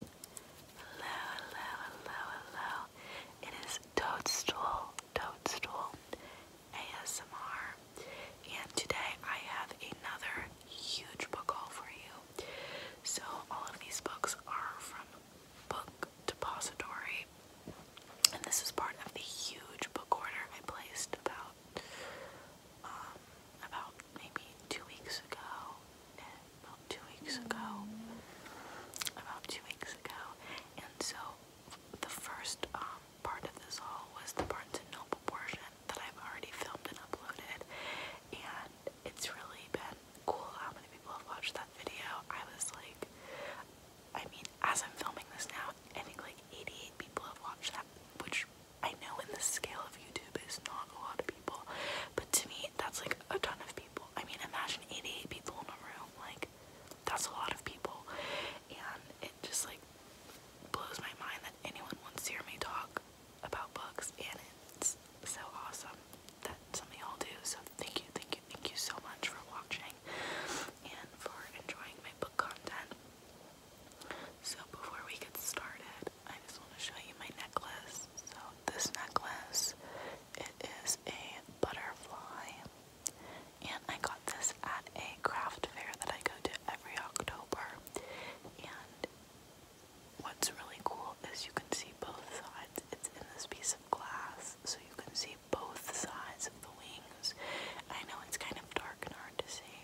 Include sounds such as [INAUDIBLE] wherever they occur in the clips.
Hello, hello, hello, hello. It is Toadstool, Toadstool ASMR. And today I have another huge book haul for you. So all of these books are from Book Depository. And this is part of the huge book order I placed about um, about maybe two weeks ago, and about two weeks ago, about two weeks ago, and so the first um, part of this haul was the Barnes and Noble portion that I've already filmed and uploaded, and it's really been cool how many people have watched that video. I was like, I mean, as I'm filming this now, I think like 88 people have watched that, which I know in the scale of YouTube is not a lot of but to me, that's like a ton of people. I mean, imagine 88 people in a room. Like, that's a lot of people. And it just like blows my mind that anyone wants to hear me talk about books. And it's so awesome that some all do. So thank you, thank you, thank you so much for watching and for enjoying my book content. So before we get started, I just want to show you my necklace. So this necklace, it is a butterfly, and I got this at a craft fair that I go to every October. And what's really cool is you can see both sides. It's in this piece of glass, so you can see both sides of the wings. I know it's kind of dark and hard to see,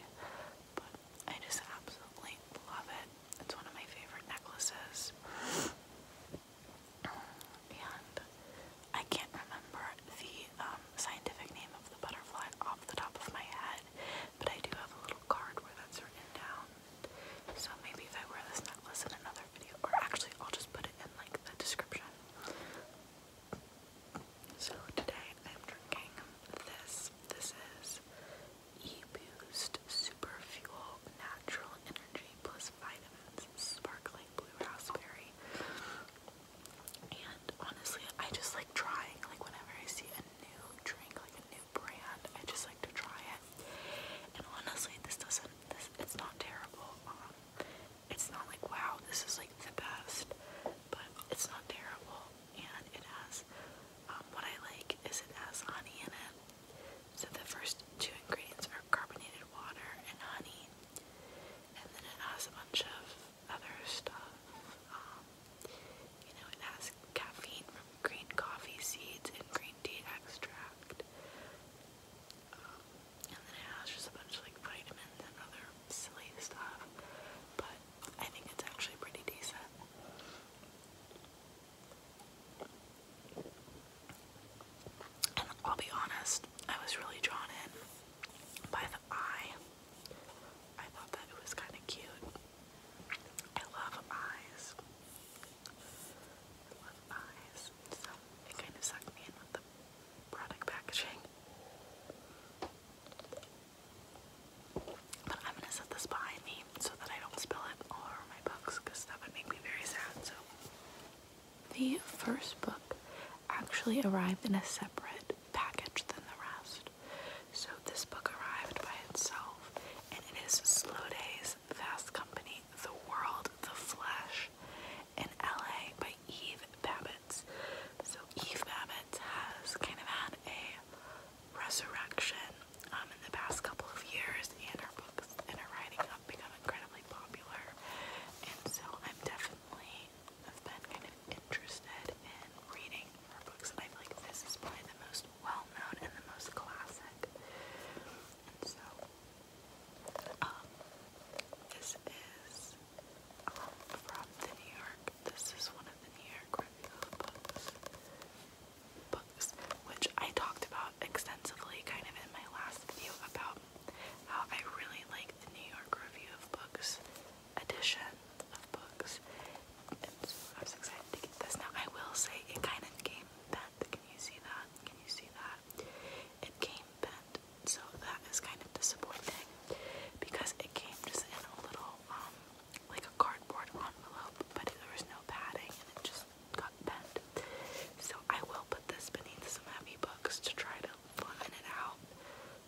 but I just absolutely love it. It's one of my favorite necklaces. And I can't remember the um, scientific name of the butterfly off the top of my head, but I do have a little card where that's written down. So maybe if I wear this necklace in another video, or actually I'll just put it in like the description. So today I'm drinking this. This is E-Boost Super Fuel Natural Energy Plus Vitamins Sparkling Blue Raspberry. And honestly, I just like trying, like whenever I see a new drink, like a new brand, I just like to try it. And honestly, this doesn't, this, it's not terrible. Um, it's not like, wow, this is like the best, but it's not terrible. And it has, um, what I like is it has honey in it. So the first two ingredients are carbonated water and honey, and then it has a bunch of other stuff. Um, you know, it has caffeine from green coffee seeds and green tea extract. Um, and then it has just a bunch of like vitamins and other silly stuff. But I think it's actually pretty decent. I'll be honest, I was really drawn in by the eye. I thought that it was kind of cute. I love eyes. love eyes. So it kind of sucked me in with the product packaging. But I'm gonna set this by so that I don't spill it all over my books because that would make me very sad. So the first book actually arrived in a separate package than the rest. So this book arrived by itself and it is Slow Days, Fast Company, The World, The Flesh, and LA by Eve Babbitts. So Eve Babbitts has kind of had a resurrection um, in the past couple of years, and her books and her writing have become incredibly popular. And so I'm definitely have been kind of interested in reading her books, and I feel like this is probably the most well-known and the most classic. And so, um, this is um, from the New York. This is one of the New York review books books, which I talked about extensively kind of in my last video about how I really like the New York Review of Books edition of books. And I was excited to get this. Now I will say it kind of came bent. Can you see that? Can you see that? It came bent. So that is kind of disappointing because it came just in a little um, like a cardboard envelope, but there was no padding and it just so I will put this beneath some heavy books to try to flatten it out,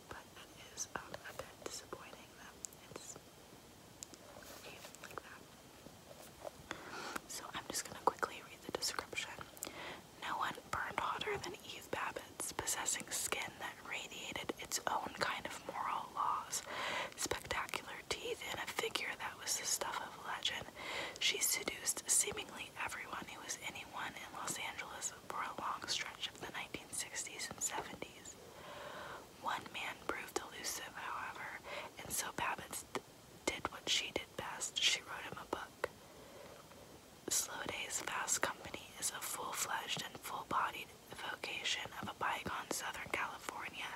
but it is um, a bit disappointing that it's even like that. So I'm just gonna quickly read the description. No one burned hotter than Eve Babbitts, possessing skin that radiated its own kind of moral laws spectacular teeth, and a figure that was the stuff of legend. She seduced seemingly everyone who was anyone in Los Angeles for a long stretch of the 1960s and 70s. One man proved elusive, however, and so Babbitts did what she did best. She wrote him a book. Slow Days Fast Company is a full fledged and full bodied vocation of a bygone Southern California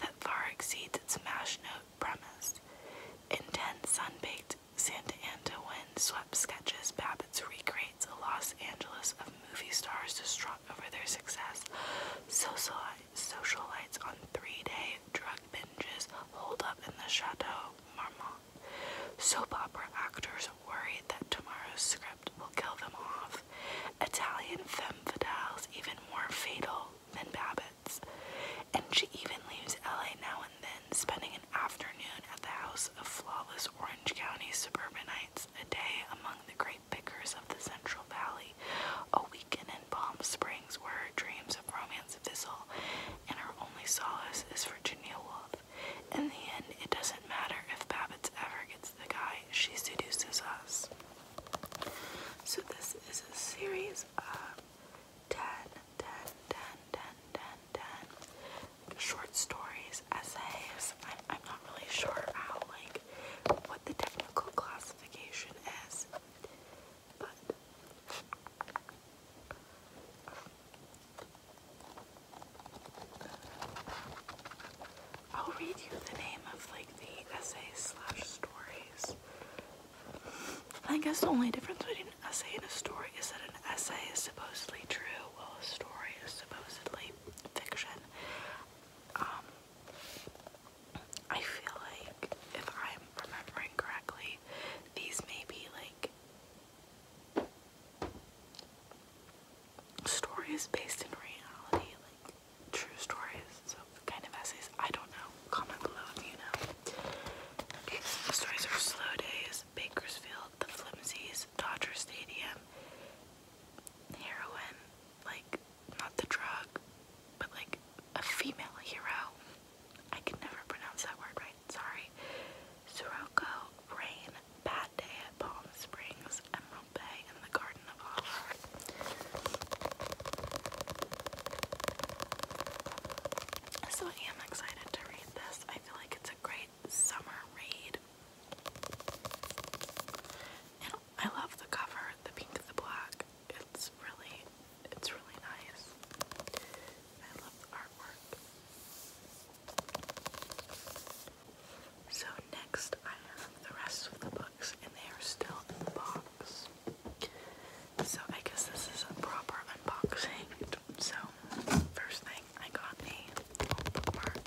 that far exceeds its mash note in Intense sun-baked Santa Ana wind-swept sketches, Babbitts recreates a Los Angeles of movie stars distraught over their success, social socialites on three-day drug binges holed up in the Chateau Marmont. Soap opera actors worried that tomorrow's script will kill them off. Italian femme fatales even more fatal than Babbitt. And she even leaves LA now and then, spending an afternoon at the house of flawless Orange County suburbanites, a day among the great pickers of the Central Valley, a weekend in Palm Springs where her dreams of romance fizzle and her only solace is Virginia Woolf. In the end, it doesn't matter if Babbitts ever gets the guy, she seduces us. So this is a series of 10, short stories, essays. I'm not really sure how, like, what the technical classification is, but I'll read you the name of like the essays slash stories I guess the only difference between an essay and a story is that an essay is supposedly true, while a story is supposedly fiction. Um, I feel like, if I'm remembering correctly, these may be like stories based in reality, like true stories, so kind of essays. I don't know. Comment below if you know. stories are Slow Days, Bakersfield, The Flimsies, Dodger Stadium, heroin, like not the drug, but like a female hero. I can never pronounce that word right, sorry. Sirocco, Rain, Bad Day at Palm Springs, Emerald Bay, and the Garden so I am excited to read this. I feel like it's a great summer read. And I love the cover, the pink, the black. It's really, it's really nice. I love the artwork. So next I have the rest of the books and they are still in the box. So I guess this is a proper unboxing. So first thing I got a bookmark.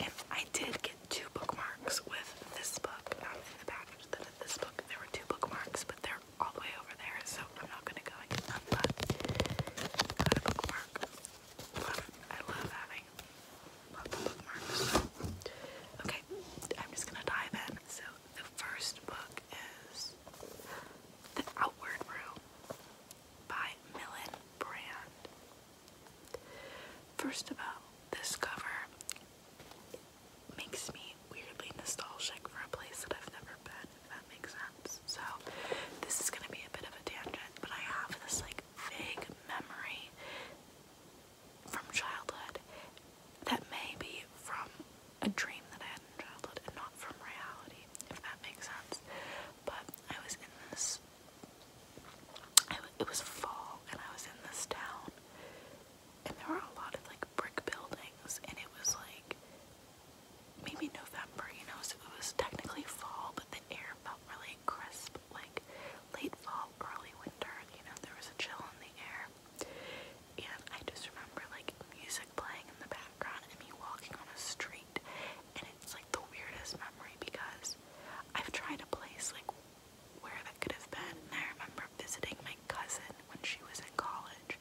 And I did get two bookmarks with this book um, in the package that in this book there were two bookmarks but they're all the way over there so I'm not gonna go and get them but bookmark. I love having bookmarks. Okay. I'm just gonna dive in. So the first book is The Outward Room by Millen Brand. First of all, this cover makes me weirdly nostalgic for a place that I've never been, if that makes sense. So this is gonna be a bit of a tangent, but I have this like vague memory from childhood that may be from a dream that I had in childhood and not from reality, if that makes sense. But I was in this, it was fall, and I was in this town, and there were a lot of like brick buildings, and it was like maybe November, you know, so it was technically fall, but the air felt really crisp, like late fall, early winter, you know, there was a chill in the air. And I just remember like music playing in the background and me walking on a street and it's like the weirdest memory because I've tried to place like where that could have been and I remember visiting my cousin when she was in college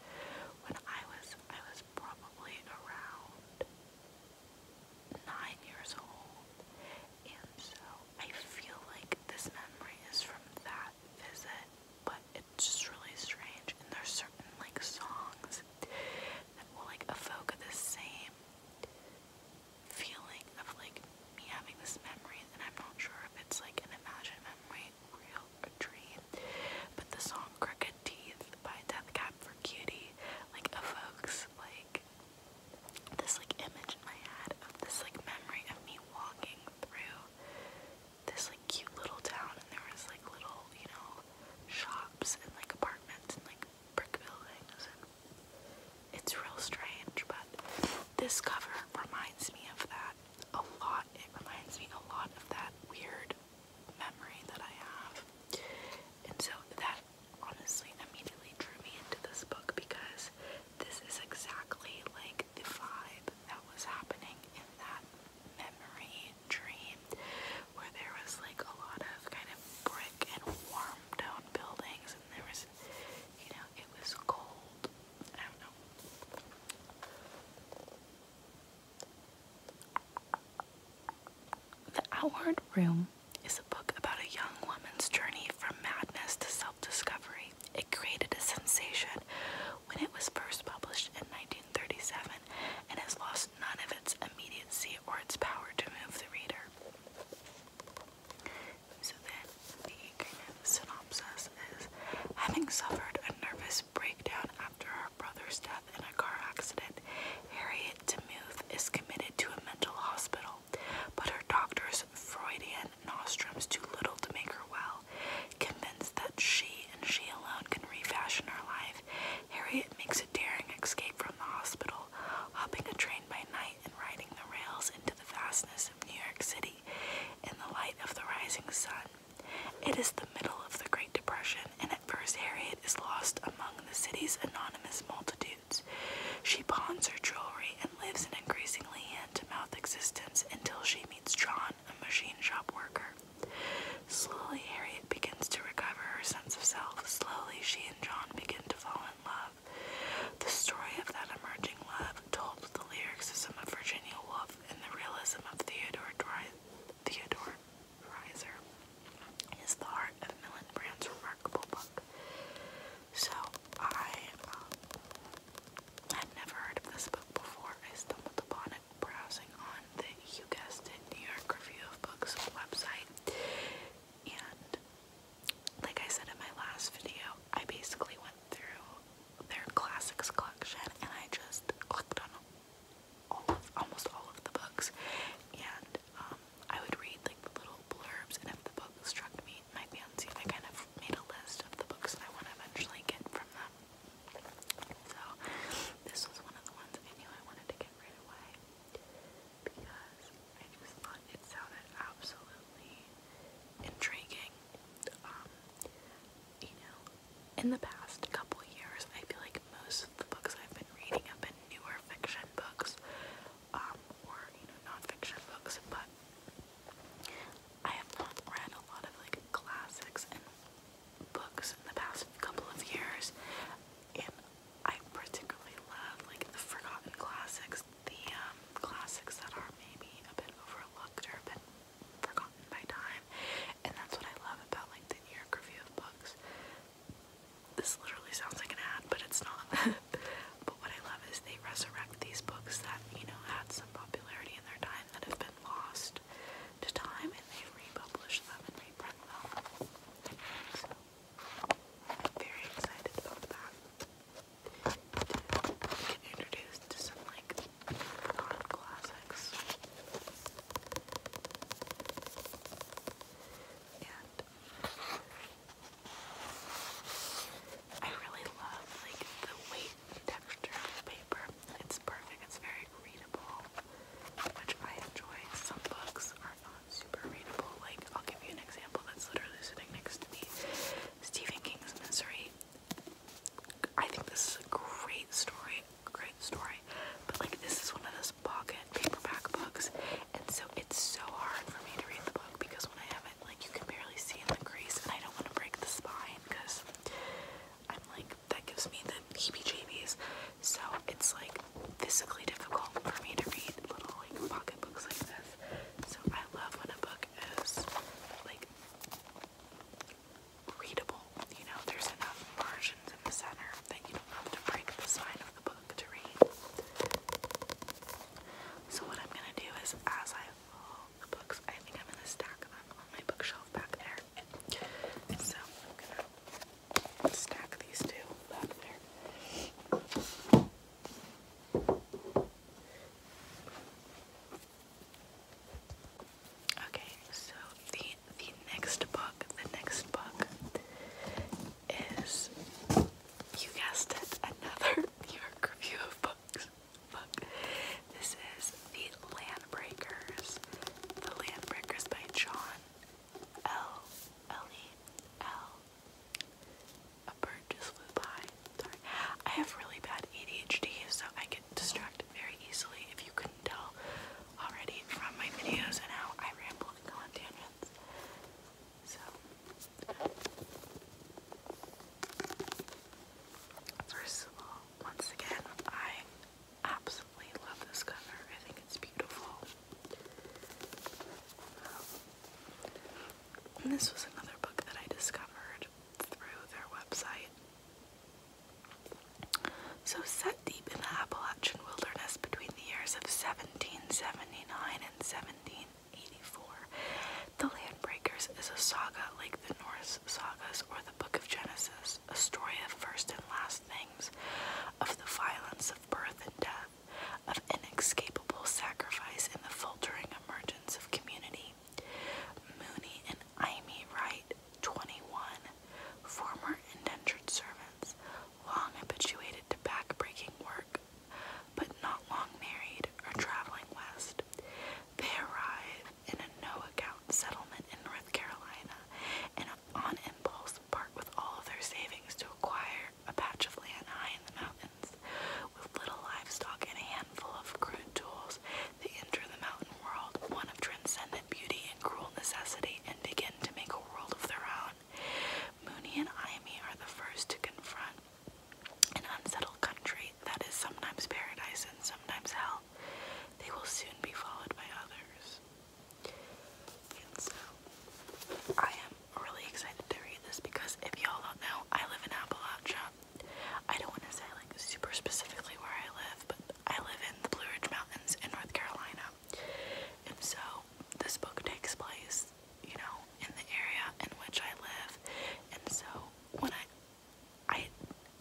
when I was I was probably around nine years old and so I feel like this memory is from that visit, but it's just really strange. And there's certain like songs that will like evoke the same feeling of like me having this memory, and I'm not sure if it's like an imagined memory, real, or dream. But the song "Crooked Teeth" by Death Cab for Cutie like evokes like this like image in my head of this like memory of me walking walking through this like cute little town and there was like little, you know, shops and like apartments and like brick buildings and it's real strange, but this cover reminds me of that a lot. It reminds me a lot of that weird memory that I have. And so that honestly immediately drew me into this book because this is exactly like the vibe that was happening in that memory dream where there was like a lot of kind of brick and warm tone buildings and there was you know it was cold the Outward Room is a book about a young woman's journey from madness to self discovery. It created a sensation when it was first published in 1937 and has lost none of its immediacy or its power to move the reader. So then the synopsis is having suffered a nervous breakdown after her brother's death in a car accident, Harriet DeMuth is committed to a mental hospital, but her doctor's Freudian nostrums too little to make her well. Convinced that she and she alone can refashion her life, Harriet makes a daring escape from the hospital, hopping a train by night and riding the rails into the vastness of New York City in the light of the rising sun. It is the middle of the Great Depression, and at first Harriet is lost among the city's anonymous multitudes. She pawns her jewelry and lives in increasingly mouth existence until she meets John, a machine shop worker. Slowly, Harriet begins to recover her sense of self. Slowly, she and John begin to fall in love. The story of that emerging love, told with the lyricism of Virginia Woolf and the realism of Theodore Dreiser, is the heart of Millen Brand's remarkable book. So I um, I'd never heard of this book before. I stumbled upon it browsing on the, you guessed it, New York Review of Books website. And like I said in my last video, I basically went through their classics collection and I just clicked on all of, almost all of the books. And um, I would read like the little blurbs, and if the book struck me, my fancy. I kind of made a list of the books that I want to eventually get from them. So this was one of the ones I knew I wanted to get right away because I just thought it sounded absolutely intriguing. Um, you know, in the past couple years, I feel like most of the books I've been reading have been newer fiction books, um, or you know, non-fiction books, but I have read a lot of like classics and books in the past couple of years, and I particularly love like the forgotten classics, the um, classics that are maybe a bit overlooked or a bit forgotten by time, and that's what I love about like the New York Review of Books. This literally sounds like an ad, but it's not. [LAUGHS] but what I love is they resurrect these books that you know had some popularity in their time that have been lost to time, and they republish them and reprint them. So, very excited about that. introduced to some like non classics. And I really love like the weight texture of the paper. It's perfect. It's very readable, which I enjoy. Some books are not super readable. Like, I'll give you an example that's literally sitting next to me. Stephen King's Misery. I think this is a great story, great story. But like this is one of those pocket paperback books, and so it's so hard for me to read the book because when I have like you can barely see in the crease, and I don't want to break the spine because I'm like that gives me the heebie-jeebies. So it's like physically difficult for me to read little like pocket books like this. So I love when a book is like readable. You know, there's enough margins in the center that you don't have to break the spine of the book to read. So what I'm gonna do is as I books. I think I'm gonna stack them on my bookshelf back there. So stack these two back there. Okay, so the the next book, the next book is you guessed it, another [LAUGHS] New York Review of Books. This is The Landbreakers. The Landbreakers by John L. bird just flew by. Sorry. I have really bad ADHD, so I get distracted very easily if you couldn't tell already from my videos and how I ramble and go on tangents. So First of all, once again, I absolutely love this cover. I think it's beautiful. Um, this was another book that I discovered through their website. So, set deep in the Appalachian wilderness between the years of 1779 and 1784, the Landbreakers is a saga like the Norse sagas or the Book of Genesis, a story of first and last things, of the violence of birth and death, of inescapable sacrifice in the faltering emergence of community. Mooney and Amy Wright, 21, former indentured servants, long habituated to back work, but not long married, are traveling west. They arrive in a no-account settlement in North Carolina and on impulse part with all their savings to acquire a patch of land high in the mountains. With little livestock and a handful of crude tools, they enter the mountain world, one of transcendent beauty and cruel necessity, and begin to make a world of their own. Mooney and Imee are the first to confront an unsettled country that is sometimes paradise and sometimes hell, they will soon be followed by others. And so, I am really excited to read this because if y'all don't know, I live in Appalachia. I don't want to say like super specifically where I live, but I live in the Blue Ridge Mountains in North Carolina. And so, this book takes place, you know, in the area in which I live. And so, when I I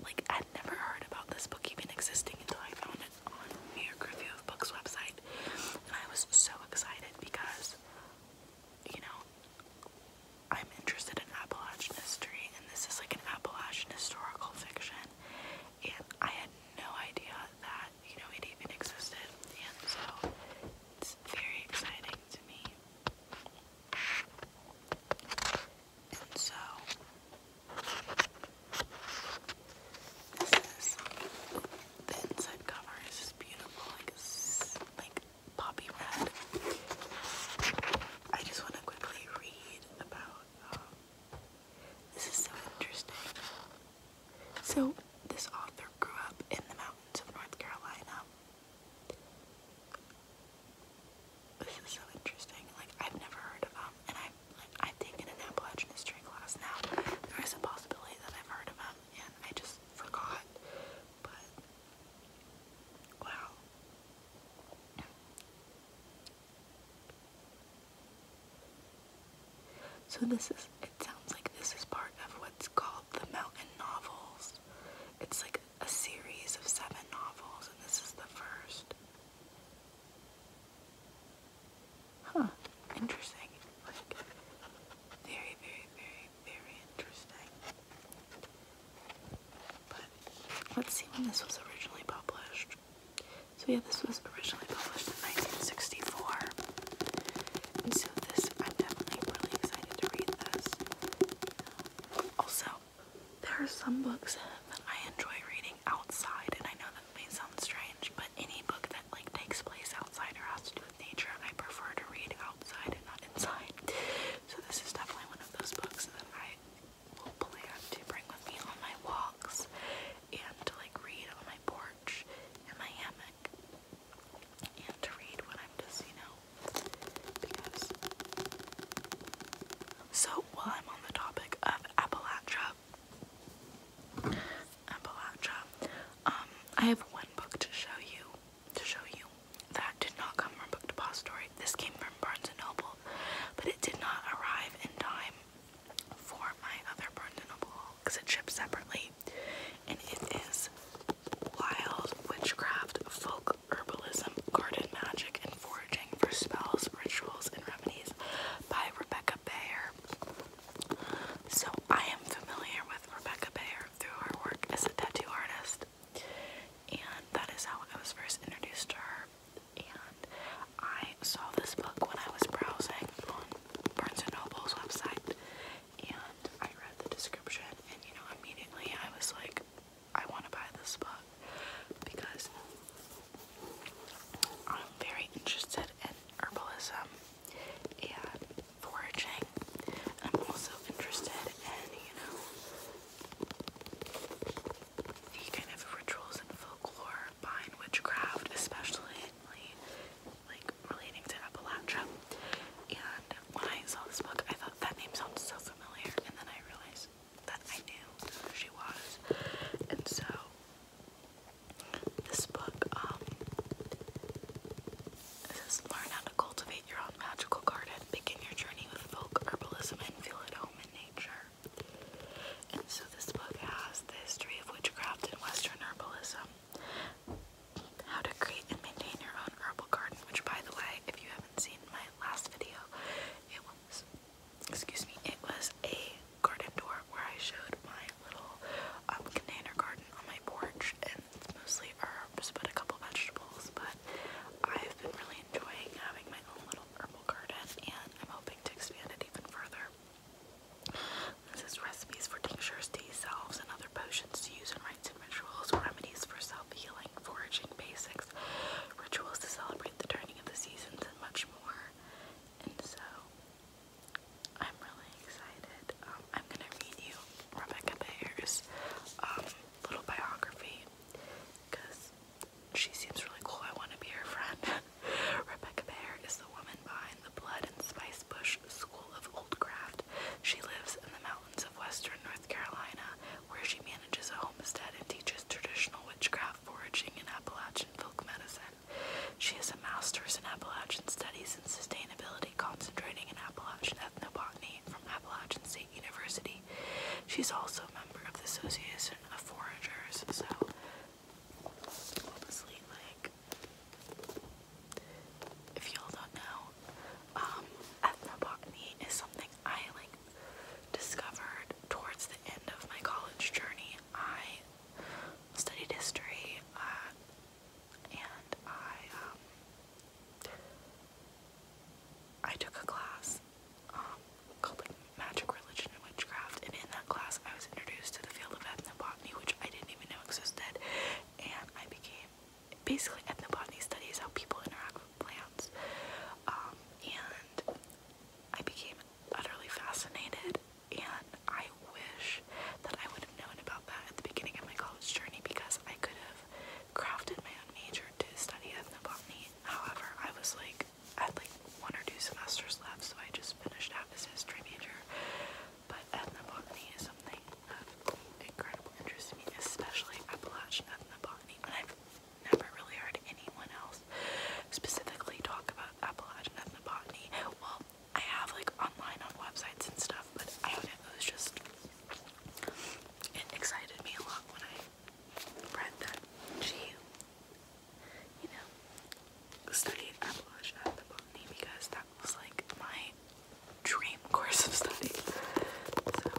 like I'd never heard about this book even existing until I found it on the York Review of Books website, and I was so excited because you know I'm interested in Appalachian history, and this is like an Appalachian historical fiction, and I had no idea that you know it even existed, and so it's very exciting to me so this is the inside cover is just beautiful, like like poppy red. I just want to quickly read about. Um, this is so interesting. So this author grew up in the mountains of North Carolina. This is so interesting. Like I've never heard of them, um, and I've like, I've taken an Appalachian history class now. There is a possibility that I've heard of them, and I just forgot. But wow. So this is. It sounds like this is part of what's called the mountain novels. It's like a series of seven novels, and this is the first. Huh, interesting. Like, very, very, very, very interesting. But let's see when this was originally published. So, yeah, this was originally published in 1964. And so, this, I'm definitely really excited to read this. Also, there are some books that I enjoy reading outside, and I know that may sound strange, but any book that like takes place outside or has to do with nature, I prefer to read outside and not inside. So this is definitely one of those books that I will plan to bring with me on my walks and to like read on my porch in my hammock and to read when I'm just, you know, so while I'm on the topic of Appalachia Appalachia um, I have one book to show you to show you that did not come from Book Depository this came from Barnes and Noble but it did not arrive in time for my other Barnes and Noble because it shipped separately and it is Wild Witchcraft Folk Herbalism, Garden Magic, and Foraging for Spells, Rituals, and Remedies by Rebecca Bayer. So I am familiar with Rebecca Bayer through her work as a tattoo artist, and that is how I was first introduced to her. And I saw this book when I was browsing on Barnes & Noble's website, and I read the description, and you know, immediately I was like, I want to buy this book because I'm very interested in herbalism and foraging. I'm also interested in, you know, the kind of rituals and folklore behind witchcraft, especially like relating to Appalachia. And when I saw this book, I thought that name sounds so familiar, and then I realized that I knew she was. And so this book, um, says Learn How to Cultivate Your Own Magical Garden. Begin your journey with folk herbalism and feel at home in nature. And so this book has the history of witchcraft and Western herbalism. How to create and maintain your own herbal garden, which by the way, if you haven't seen my last video. It was, excuse me, it was a garden door where I showed my little um, container garden on my porch, and it's mostly herbs, but a couple vegetables. But I've been really enjoying having my own little herbal garden, and I'm hoping to expand it even further. This is recipes for tinctures, tea salves, and other potions to use in rites and rituals, remedies for self-healing, foraging basics, rituals to celebrate the turning of the seasons, and much more. And so, I'm really excited. Um, I'm gonna read you Rebecca Bayer's um, little biography because she seems really cool. I want to be her friend. [LAUGHS] Rebecca Bayer is the woman behind the Blood and Spice Bush School of Old Craft. She lives in the mountains of western North Carolina where she manages a homestead and teaches traditional witchcraft, foraging, and Appalachian folk medicine. She has a master's in Appalachian studies and sustainability, concentrating in Appalachian ethnobotany from Appalachian State University. She's also a member of the Association of Foragers, so honestly, like, if y'all don't know, um, ethnobotany is something I like discovered towards the end of my college journey. I studied history uh, and I um, I took a class um, called Magic, Religion, and Witchcraft, and in that class I was introduced to the field of ethnobotany, which I didn't even know existed, and I became basically ethnobotany studies how people interact plants. Um, and I became utterly fascinated, and I wish that I would have known about that at the beginning of my college journey because I could have crafted my own major to study ethnobotany. However, I was like, I had like one or two semesters left, so I just finished out as history major. But ethnobotany is something of incredible interest to me, especially Appalachian ethnobotany never really heard anyone else specifically talk about Appalachian ethnobotany. Well, I have like online on websites and stuff, but I don't know, it was just, it excited me a lot when I read that she, you know, studied Appalachian ethnobotany because that was like my dream course of study. So,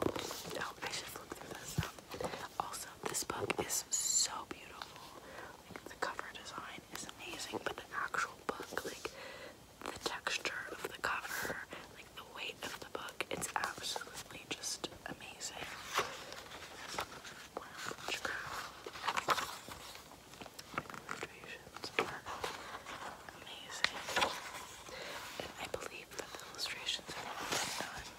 no, I should look through this. stuff. Um, also, this book is so beautiful. Like the cover design is amazing, but the actual book, like the texture of the cover, like the weight of the book, it's absolutely just amazing. amazing. I believe the illustrations have been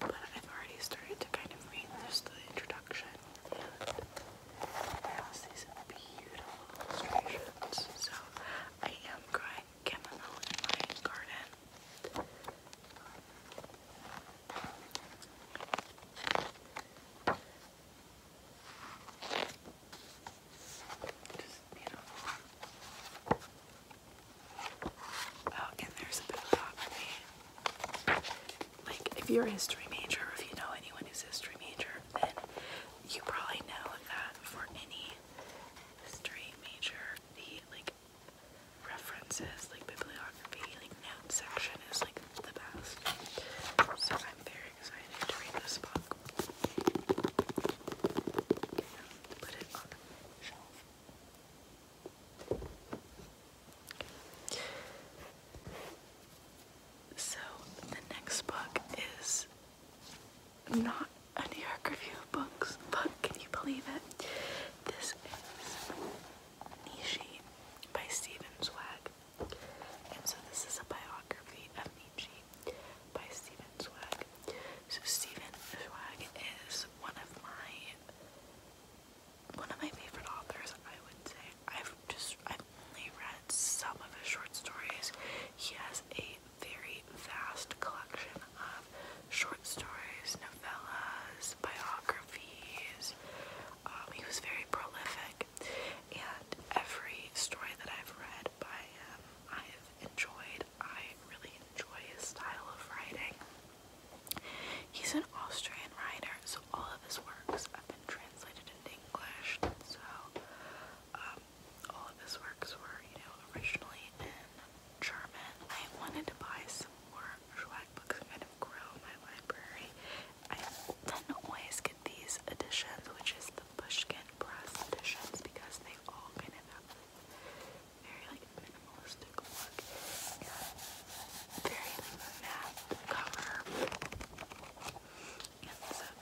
but I've already started to kind of read just the introduction and I also see beautiful illustrations. So I am growing chamomile in my garden. Just beautiful. Oh, like, if you're a history major, or if you know anyone who's a history major, then you probably know that for any history major, the like references, like bibliography, like note section is like the best. So I'm very excited to read this book. put it on the shelf. So the next book is not a New York Review of Books book, can you believe it? This is Nietzsche by Stephen Swag. And so this is a biography of Nietzsche by Stephen Swag. So Stephen Swag is one of my one of my favorite authors, I would say. I've just, I've only read some of his short stories. He has a very vast collection of short stories, novellas, biographies. Um, he was very prolific, and every story that I've read by him, I've enjoyed. I really enjoy his style of writing. He's an Austrian writer, so all of his works have been translated into English. So um, all of his works were, you know, originally in German. I wanted to buy some more Schwag books and kind of grow my library. I tend to always get these editions, which is the Pushkin Press editions, because they all kind of have very like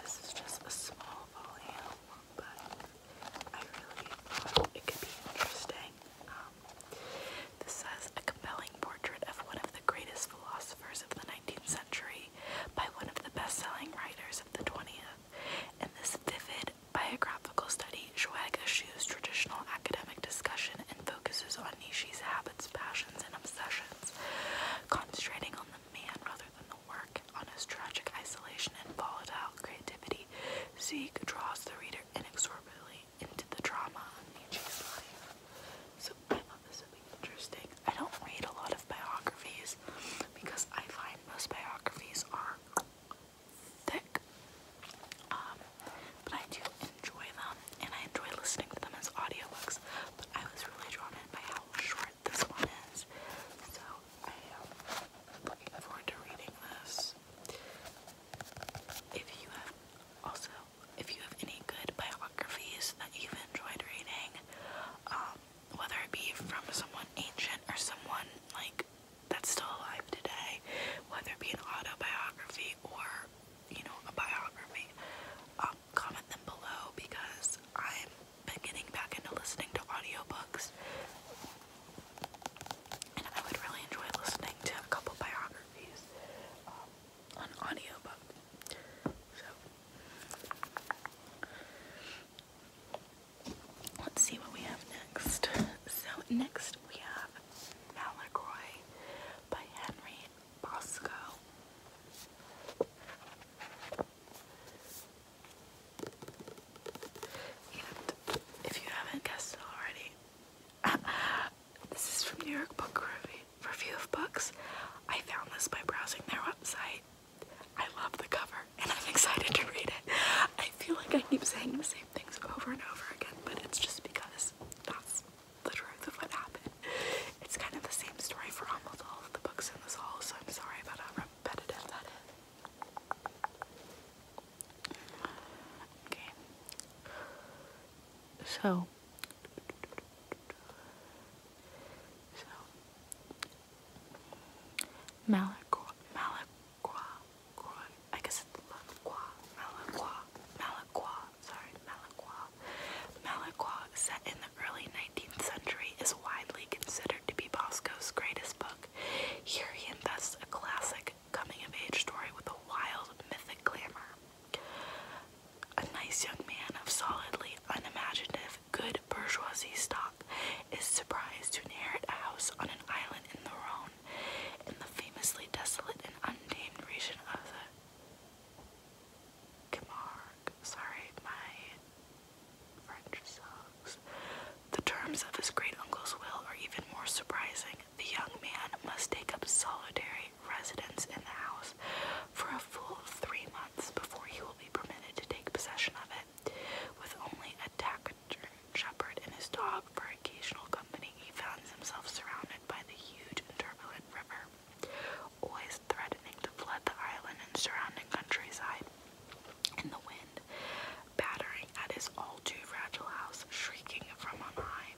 this is just a small volume, but I really it could be interesting. this says a compelling portrait of one of the greatest philosophers of the 19th century by one of the best-selling writers of the 20th. In this vivid biographical study, Schwag traditional academic discussion and focuses on Nishi's habits, passions, and obsessions, concentrating on the man rather than the work, on his tragic isolation and volatile creativity. Sieg draws the reader inexorably into the drama of Nietzsche's life. So I thought this interesting. I don't read a lot of biographies because I find most biographies are thick. Um, but I do enjoy them and I enjoy listening to them as audiobooks. But I was really drawn in by how short this one is. So I am looking forward to reading this. If you have also if you have any good biographies that you've enjoyed reading, um, whether it be from someone ancient or someone like that's still alive today, whether it be an autobiography or you know, a biography, um, comment them below because I've been getting back into listening to audiobooks. And I would really enjoy listening to a couple biographies um, on audiobook. So, let's see what we have next. [LAUGHS] So, next we have Malacroy by Henry Bosco. And if you haven't guessed already, [LAUGHS] this is from New York Book Review, Review of Books. I found this by browsing their website. I love the cover and I'm [LAUGHS] excited to read it. I feel like I keep saying the same things over and over again, but it's just because that's the truth of what happened. It's kind of the same story for almost all of the books in this hall. so I'm sorry about how repetitive that is. Okay. So. So. Malacqua, Malacqua, I guess it's Malacqua, Malacqua, Malacqua, sorry, Malacqua. Malacqua, set in the early 19th century, is widely considered to be Bosco's greatest book. Here he invests a classic coming-of-age story with a wild mythic glamour. A nice young man of solidly unimaginative, good bourgeoisie stock is surprised to inherit a house on an island in the Rhone in the famously desolate and untamed region of the Camargue. Sorry, my French sucks. The terms of his great uncle's will are even more surprising. The young man must take up solitary residence in the house for a full three months before he will be permitted to take possession of it. With only a taciturn shepherd and his dog for occasional company, he finds himself surrounded surrounded by the huge and turbulent river, always threatening to flood the island and surrounding countryside. And the wind, battering at his all too fragile house, shrieking from on high.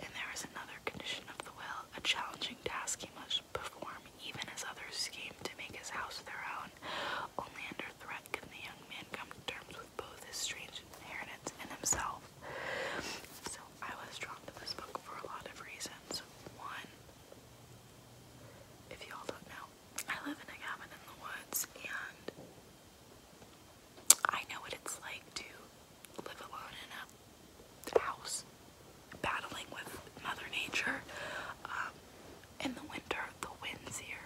And there is another condition of the will, a challenging task he must perform, even as others scheme to make his house their own. Only under threat can the young man come to terms with both his strange inheritance and himself. So I was drawn to this book for a lot of reasons. One, if y'all don't know, I live in a cabin in the woods and I know what it's like to live alone in a house, battling with Mother Nature. Um, in the winter, the wind's here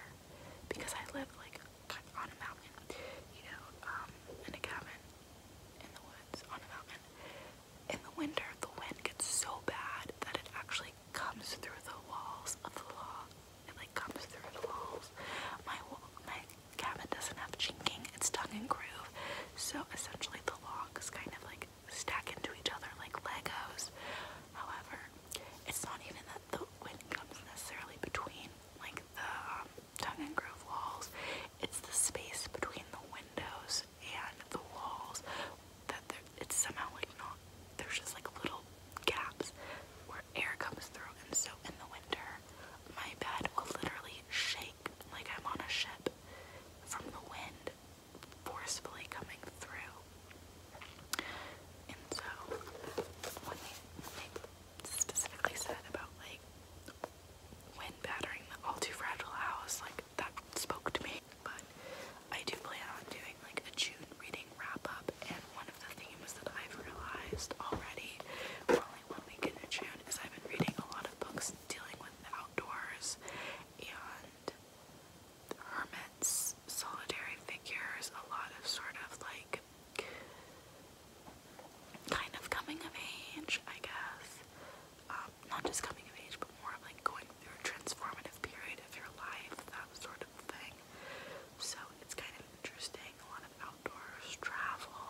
because I live like on a mountain, you know, um, in a cabin in the woods on a mountain. In the winter, the wind gets so bad that it actually comes through the walls of the log. It like comes through the walls. My my cabin doesn't have chinking; it's tongue and groove. So essentially, the logs kind of like stack into each other like Legos. However, it's not even that the wind comes necessarily between like the um, tongue and groove walls. It's the space between the windows and the walls that it's somehow like not, there's just like little gaps where air comes through. And so in the winter, my bed will literally shake like I'm on a ship from the wind forcefully coming through. And so, when they, specifically said about like when battering the all too fragile house, like that spoke to me. But I do plan on doing like a June reading wrap up, and one of the themes that I've realized already, for only one week in June, is I've been reading a lot of books dealing with the outdoors and hermits, solitary figures, a lot of sort of like kind of coming of age, I guess. Um, not just coming of age, but more like going through a transformative period of your life, that sort of thing. So it's kind of interesting. A lot of outdoors, travel,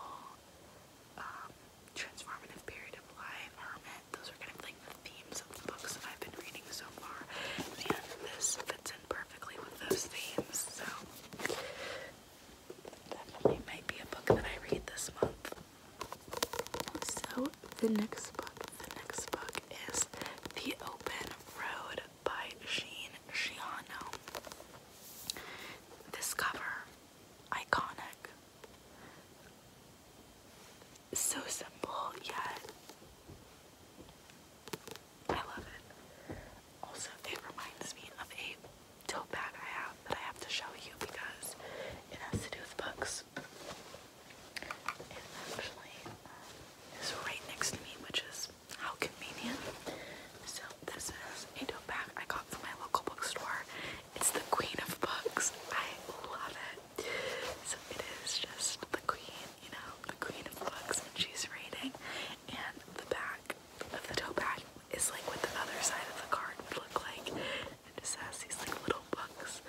um, transformative period of life, hermit. Those are kind of like the themes of the books that I've been reading so far, and this fits in perfectly with those themes. So Definitely might be a book that I read this month. So the next book, the next book is The Open Road by Sheen Shiano. This cover, iconic. So simple yet I love it. Also, it reminds me of a tote bag I have that I have to show you because it has to do with books. It actually um, is right next to me, which is how convenient. So this is a tote bag I got from my local bookstore. It's the queen of books. I love it. So it is just the queen, you know, the queen of books and she's reading. And the back of the toe bag is like what the other side of the card would look like. It just has these like little books.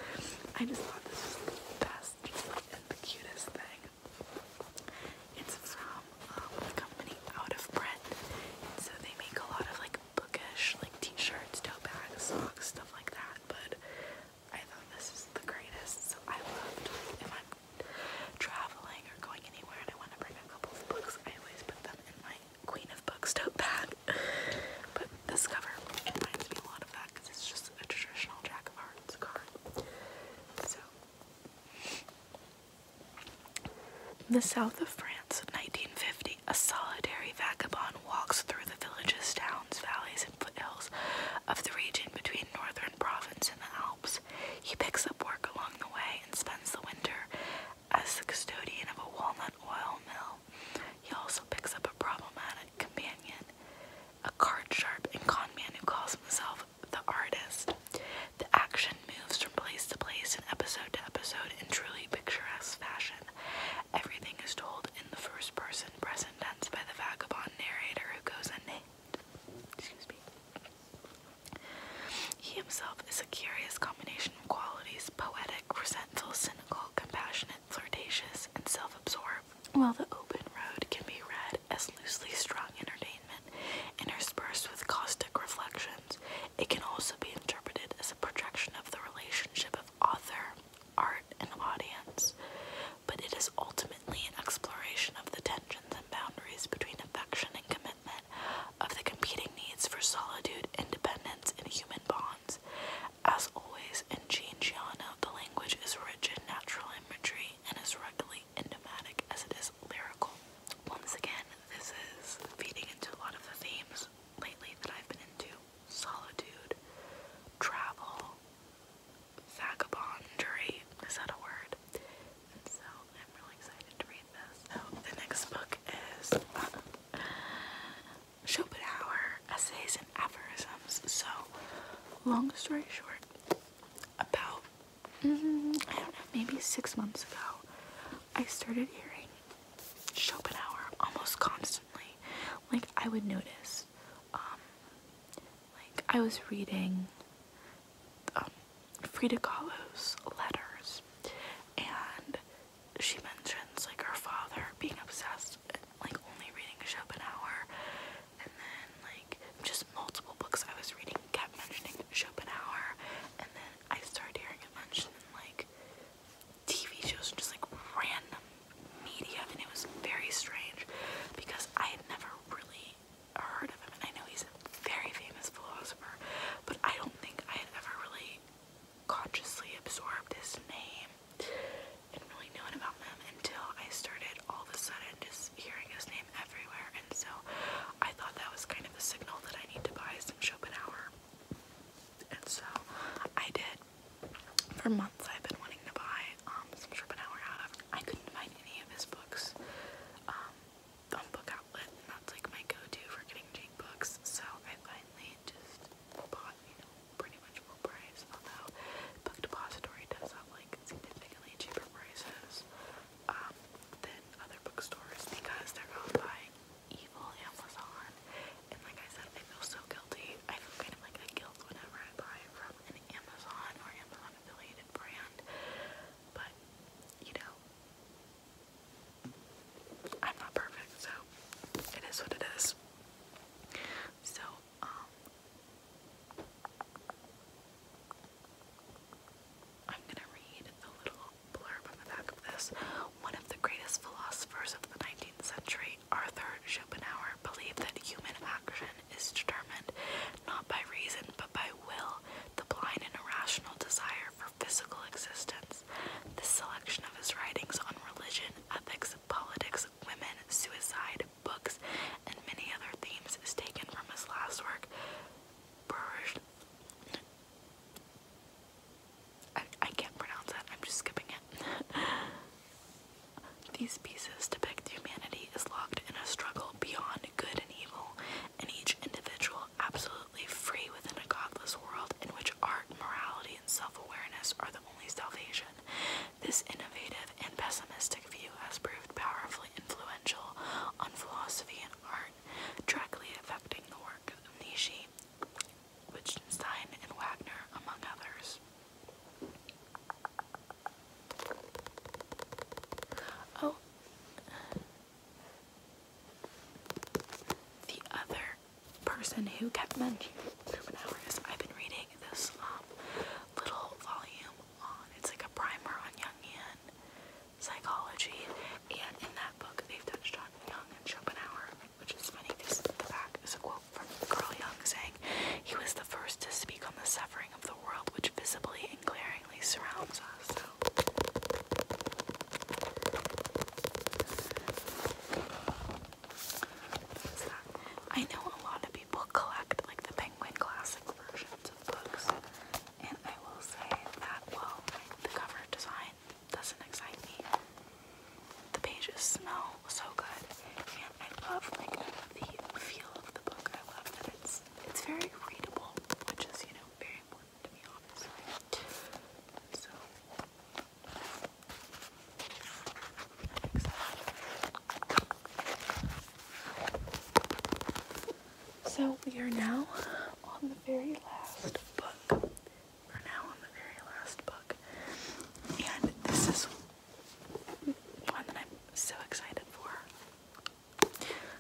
I just thought this was the best and the cutest thing. It's from um, a company Out of Print. So they make a lot of like bookish like t-shirts, tote bags, socks, stuff like that. But I thought this is the greatest. So I loved if I'm traveling or going anywhere and I want to bring a couple of books, I always put in my Queen of Books tote bag. But this cover reminds me a lot of that because it's just a traditional Jack of Hearts card. So, the south of France, 1950, a solitary vagabond walks through the villages, towns, valleys, and foothills of the region between northern province and the Alps. He picks up work along the way and spends the winter as the custodian of a walnut oil mill, he also picks up a problematic companion, a card sharp and con man who calls himself the artist. The action moves from place to place and episode to episode in truly picturesque fashion. Everything is told in the first person present tense by the vagabond narrator who goes unnamed. Excuse me. He himself is a curious combination of qualities poetic, resentful, cynical, compassionate, flirtatious, and self absorbed, while the open road can be read as loosely strung entertainment interspersed with caustic reflections. It can also be interpreted as a projection of the relationship of author, art, and audience, but it is ultimately an exploration of the tensions and boundaries between affection and commitment, of the competing needs for solitude, independence, and human bonds. As always, in Giangiano, the language is rich in natural imagery and as regularly enigmatic as it is lyrical. Once again, this is feeding into a lot of the themes lately that I've been into solitude, travel, vagabondry. is that a word? so I'm really excited to read this. So the next book is Schopenhauer Essays and Aphorisms. So, long story short, about mm, maybe six months ago, I started hearing Schopenhauer almost constantly. Like I would notice, um, like I was reading um, Frida Kahlo's letters, and she mentions like her father being obsessed like only reading Schopenhauer, and then like just multiple books I was reading kept mentioning Schopenhauer, and then I started hearing it mentioned in like TV shows and just like random media, and it was very strange because I had never really heard of him, and I know he's He's a very famous philosopher, but I don't think I had ever really consciously absorbed his name and really known about him until I started all of a sudden just hearing his name everywhere. And so I thought that was kind of a signal that I need to buy some Schopenhauer. And so I did. For months I've been wanting to buy um, some Schopenhauer out of. I couldn't find any of his books. Um, Thumbbook outlet, and that's like my go-to for getting cheap books. So I finally just bought, you know, pretty much full price. Although Book Depository does have like significantly cheaper prices um, than other bookstores because they're owned by evil Amazon. And like I said, I feel so guilty. I feel kind of like a guilt whenever I buy from an Amazon or Amazon affiliated brand. But you know, I'm not perfect, so it is what it is. So, um, I'm gonna read the little blurb on the back of this. One of the greatest philosophers of the 19th century, Arthur Schopenhauer, believed that human action is determined not by reason but by will, the blind and irrational desire for physical existence. The selection of his writings on religion, ethics, politics, women, suicide, books, and many other themes is taken from his last work, I can't pronounce that, I'm just skipping it. [LAUGHS] These pieces depict humanity is locked in a struggle beyond good and evil, and each individual absolutely free within a godless world in which art, morality, and self awareness are the only salvation. This innovative and pessimistic view has proved powerfully influential on philosophy and art, directly affecting the work of Nietzsche, Wittgenstein, and Wagner, among others. Oh, the other person who kept mentioning Schopenhauer is I've been reading this um, little volume on it's like a primer on Jungian psychology, and in that book they've touched on Jung and Schopenhauer, which is funny because the back is a quote from Carl Jung saying he was the first to speak on the suffering of the world which visibly and glaringly surrounds us. I know a lot of people collect like the Penguin Classic versions of books, and I will say that, well, the cover design doesn't excite me. The pages smell so good, and I love like the feel of the book. I love that it's it's very readable, which is you know very important. So, we are now on the very last book. We're now on the very last book. And this is one that I'm so excited for.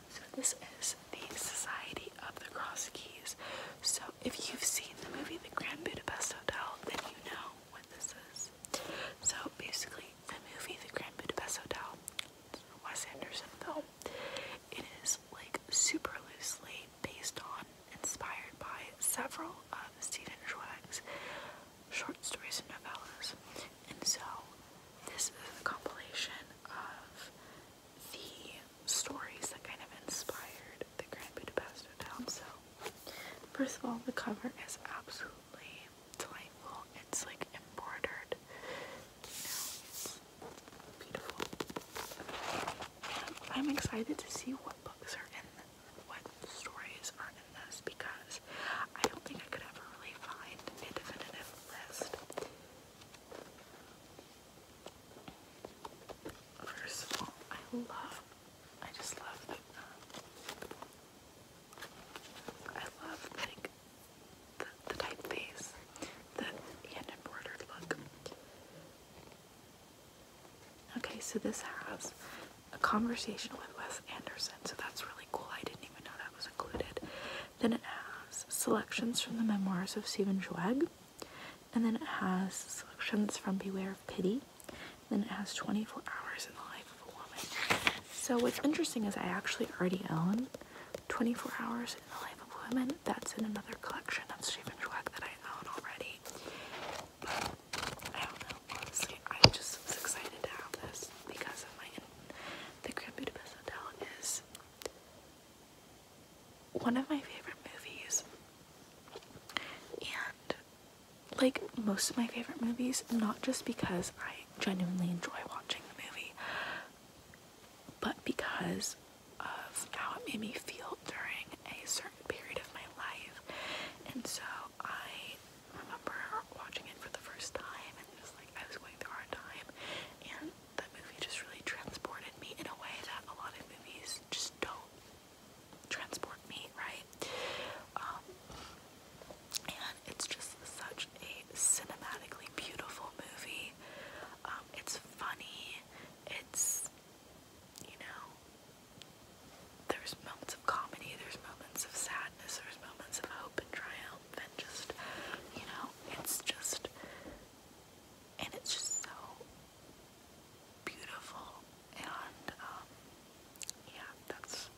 So this is the Society of the Cross Keys. So if you've seen the movie The Grand Budapest Hotel, then you know what this is. So basically, the movie The Grand Budapest Hotel, Wes Anderson film, it is like super loosely based on, inspired by several of Stephen Schweig's short stories and novellas. And so this is a compilation of the stories that kind of inspired the Grand Budapest Hotel. So, first of all, the cover is absolutely delightful. It's like embroidered, you know, it's beautiful. I'm excited to see what books are in, what stories are in this because I don't think I could ever really find a definitive list. First of all, I love, I just love the, um, I love like the, the typeface, the hand embroidered look. Okay, so this has a conversation with Wes Anderson, so that's really cool. I didn't even know that was included. Then it has selections from the memoirs of Stephen Zweig. And then it has selections from Beware of Pity. Then it has 24 Hours in the Life of a Woman. So what's interesting is I actually already own 24 Hours in the Life of a Woman. That's in another collection of Stephen Schweck that I own already. But I don't know. Honestly, I just excited to have this because of the Grand Budapest Hotel one of my favorite movies. And like most of my favorite movies, not just because I genuinely enjoy watching the movie, but because of how it made me feel during a certain period of my life. And so I remember watching it for the first time and just like I was going through a hard time and that movie just really transported me in a way that a lot of movies just don't transport me, right? Um, and it's just such a cinematically beautiful movie. Um, it's funny. It's, you know, there's moments of comedy, there's moments of sadness, there's moments of hope and triumph, and just, you know, it's just and it's just so beautiful and um, yeah that's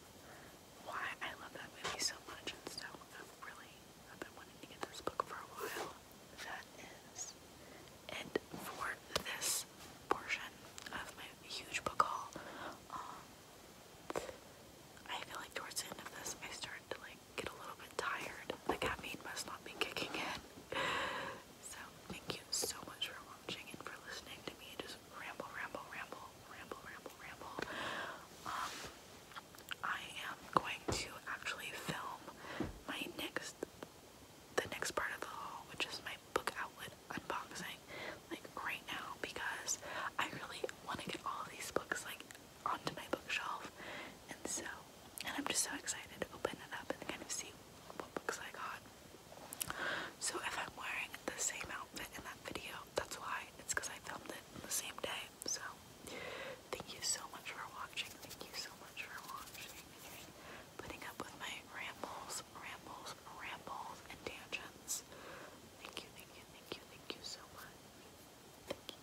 why I love that movie so much and so I've really I've been wanting to get this book for a while. That is it for this portion of my huge book haul. Um, I feel like towards the end of this I started to like get a little bit tired. The caffeine must not be kicking in. [LAUGHS] So, thank you so much for watching and for listening to me just ramble, ramble, ramble, ramble, ramble, ramble. Um, I am going to actually film my next, the next part of the haul, which is my book outlet unboxing, like right now, because I really want to get all these books like onto my bookshelf, and so and I'm just so excited to open it up and kind of see what books I got. So if I'm wearing the same outfit in that video, that's why. It's because I filmed it on the same day. So thank you so much for watching. Thank you so much for watching and putting up with my rambles, rambles, rambles, and tangents. Thank you, thank you, thank you, thank you so much. Thank you.